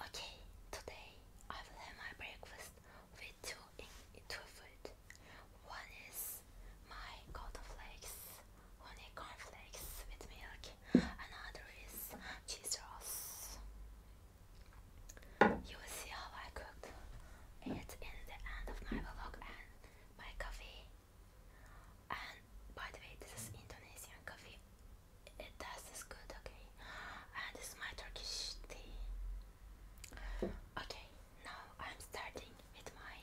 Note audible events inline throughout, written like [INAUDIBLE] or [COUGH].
Okay, today I will have my breakfast with two in two food. One is my golden flakes, honey flakes with milk. Another is cheese rolls. You will see how I cooked it in the end of my vlog and my coffee. And by the way, this is Indonesian coffee it does tastes good, okay? And this is my Turkish tea. Okay, now I'm starting with my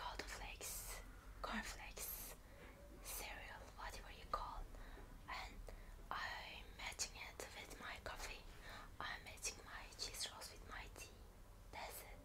golden flakes, cornflakes, cereal, whatever you call, and I'm matching it with my coffee. I'm matching my cheese rolls with my tea. That's it.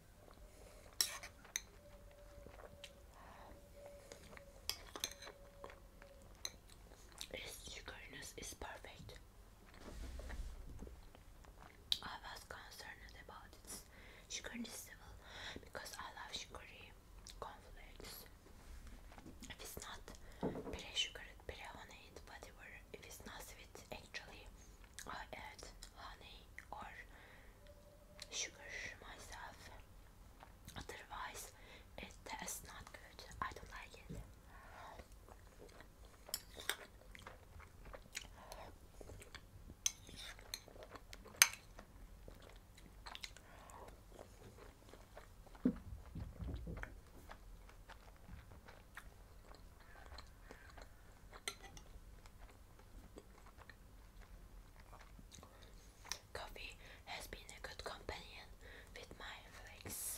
Its sugariness is perfect. I was concerned about its sugariness level because I love sugary cornflakes. If it's not pere sugared, pere honeyed, whatever, if it's not sweet, actually, I add honey or sugar myself. Otherwise, it is not good. I don't like it. Coffee has been a good companion with my flakes.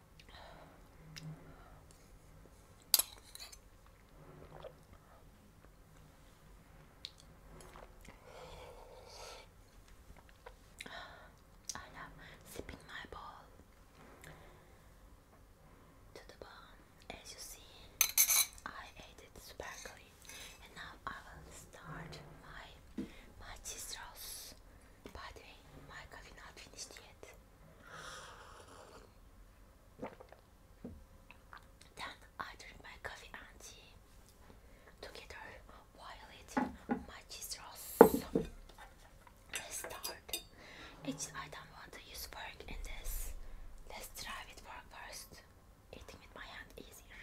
I am sipping my ball to the bone. As you see, I ate it sparkly, and now I will start my my cheese rolls. By the way, my coffee not finished yet. Then I drink my coffee and together while eating my cheese rolls. Let's start. I don't want to use fork in this. Let's try with fork first. Eating with my hand easier.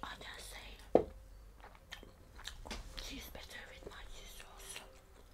Honestly, she's better with my sauce.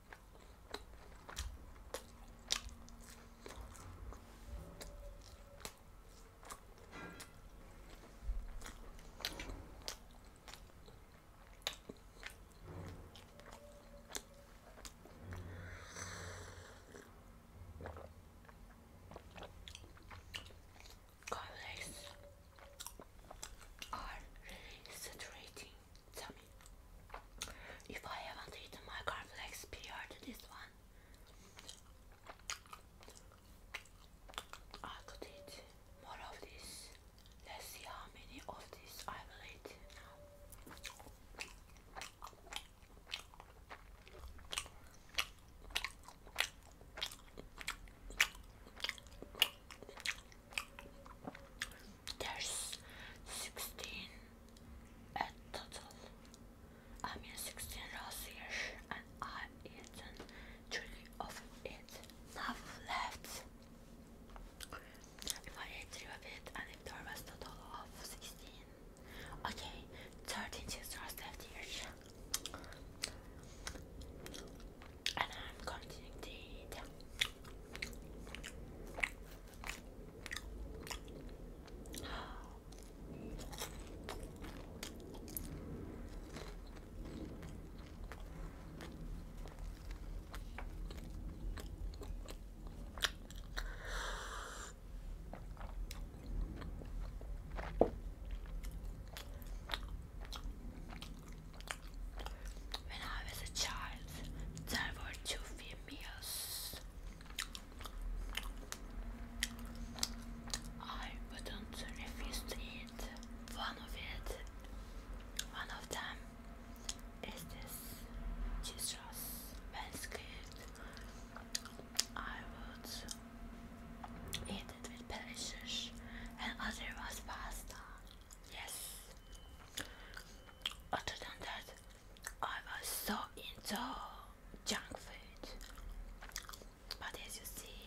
Garlics are really saturating Tell if I haven't eaten my cornflakes prior to this one. I could eat more of this. Let's see how many of these I will eat now. There's 16 at total. I mean 16 rows here and I've eaten three of it. Now left. If I ate three of it and if there was a total of 16. Okay, 13 cheese rolls left here and I'm continuing to eat. When I was a child, there were two females. I wouldn't refuse to eat one of it. One of them is this cheese sauce. When scared, I would eat it with pleasure, and other was pasta. Yes. Other than that, I was so into junk food. But as you see,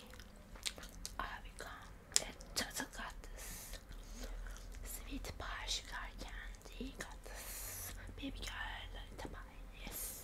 I become a total Sweet pie, candy, goddess, baby girl, lullaby, yes.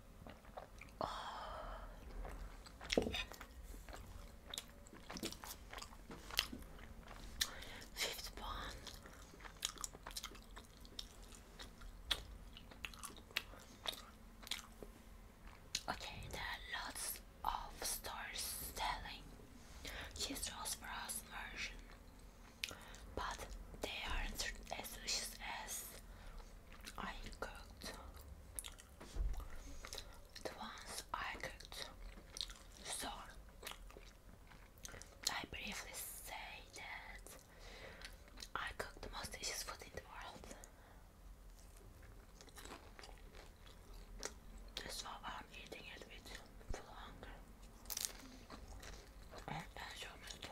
Oh. 50 pound. Okay, there are lots of stores selling cheese rolls version, but they are as delicious as I cooked the ones I cooked. So I briefly say that I cook the most delicious food in the world. That's why I'm eating it with full hunger and enjoyment.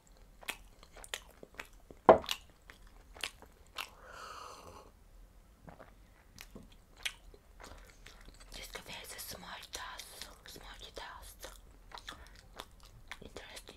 This cafe has a small dust, smoky dust. Interesting.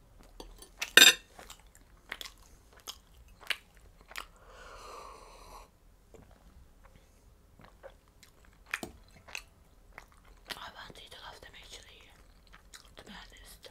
I want to eat them actually, to be honest.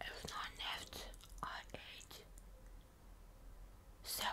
If not left, I ate seven.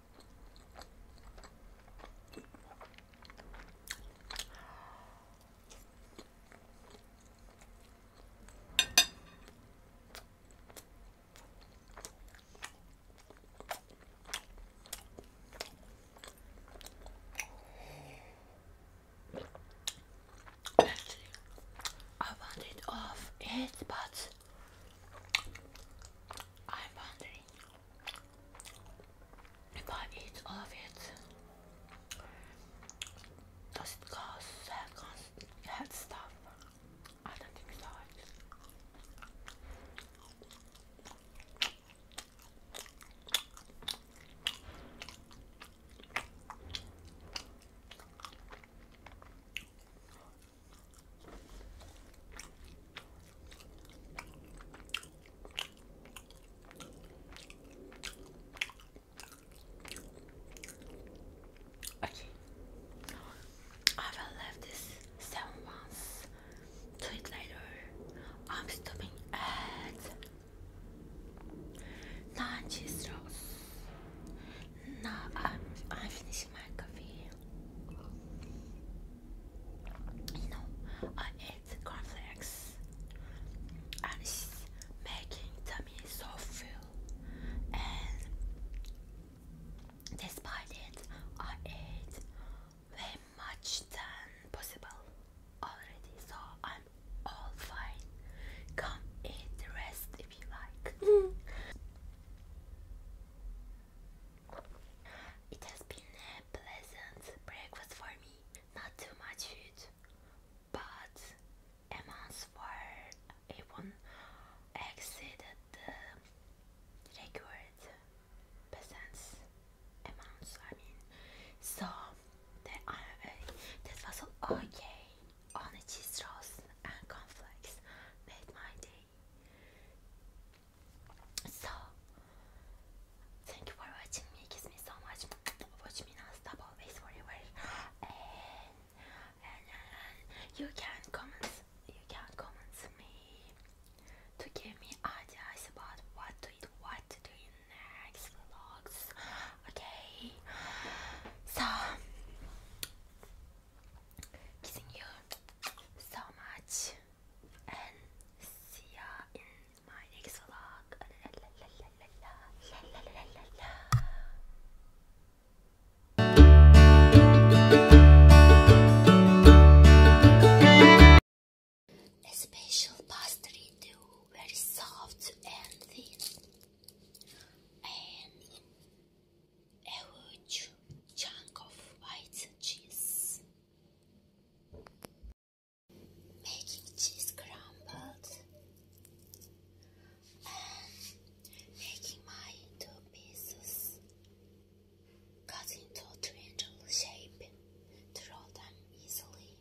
Actually, I wanted off it, but I wanted if I eat all of it, does it cause uh, head stuff? I don't think so. Okay. I will leave this seven months to it later. I'm stopping at nine cheese rolls. Now I'm I'm finishing my coffee you know, I ate cornflakes and it's making tummy so full and despite it I ate way much than possible already so I'm all fine. Come eat the rest if you like. [LAUGHS] It has been a pleasant breakfast for me. Not too much food, but a month even exceeded the required peasants amounts. I mean, so that uh, that was okay. Only cheese rolls and cornflakes made my day. So, thank you for watching me. Kiss me so much. Watch me non-stop always forever. And, and, and you can comment. You can comment me to give me ideas about what to eat, what to do in next vlogs. Okay. So. Kissing you so much and see ya in my next vlog. La, la, la, la, la, la, la, la, la. A special pastry dough, very soft and thin, and a huge chunk of white cheese. Making cheese crumbled and making my two pieces cut into triangle shape to roll them easily,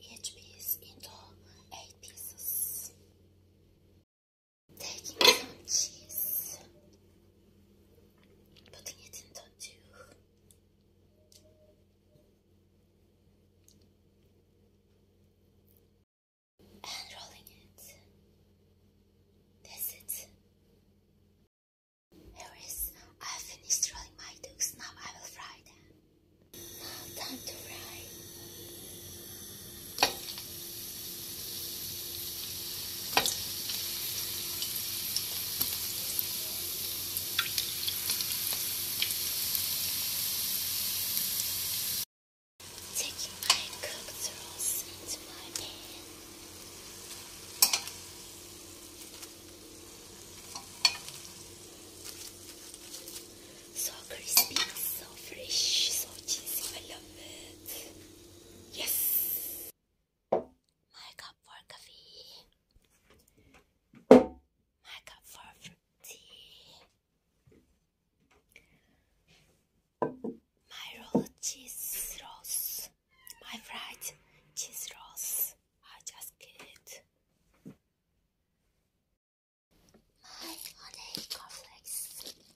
each piece into eight pieces. Taking some cheese putting it into And rolling it. That's it. Here is, I've finished rolling my ducks, now I will fry them. Now time to fry. Taking my cooked rolls into my pan. So crispy, so fresh, so cheesy. I love it. Yes. My cup for coffee. My cup for tea. My roll cheese rolls. My fried cheese rolls. I just get My honey cornflakes.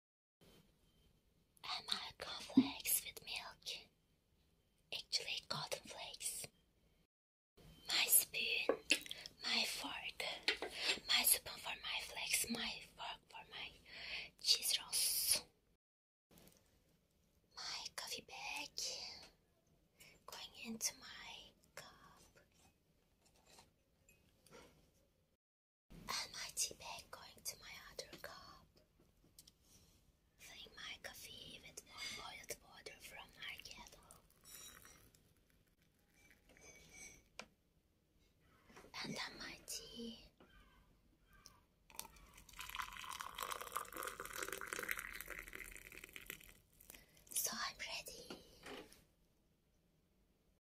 And my cornflakes with milk. Actually, cotton flakes. My spoon, my fork, my spoon for my flakes, my fork for my cheese rolls. My coffee bag going into my cup. Almighty bag going to my other cup. Filling my coffee with boiled water from my kettle. And on my tea. So I'm ready.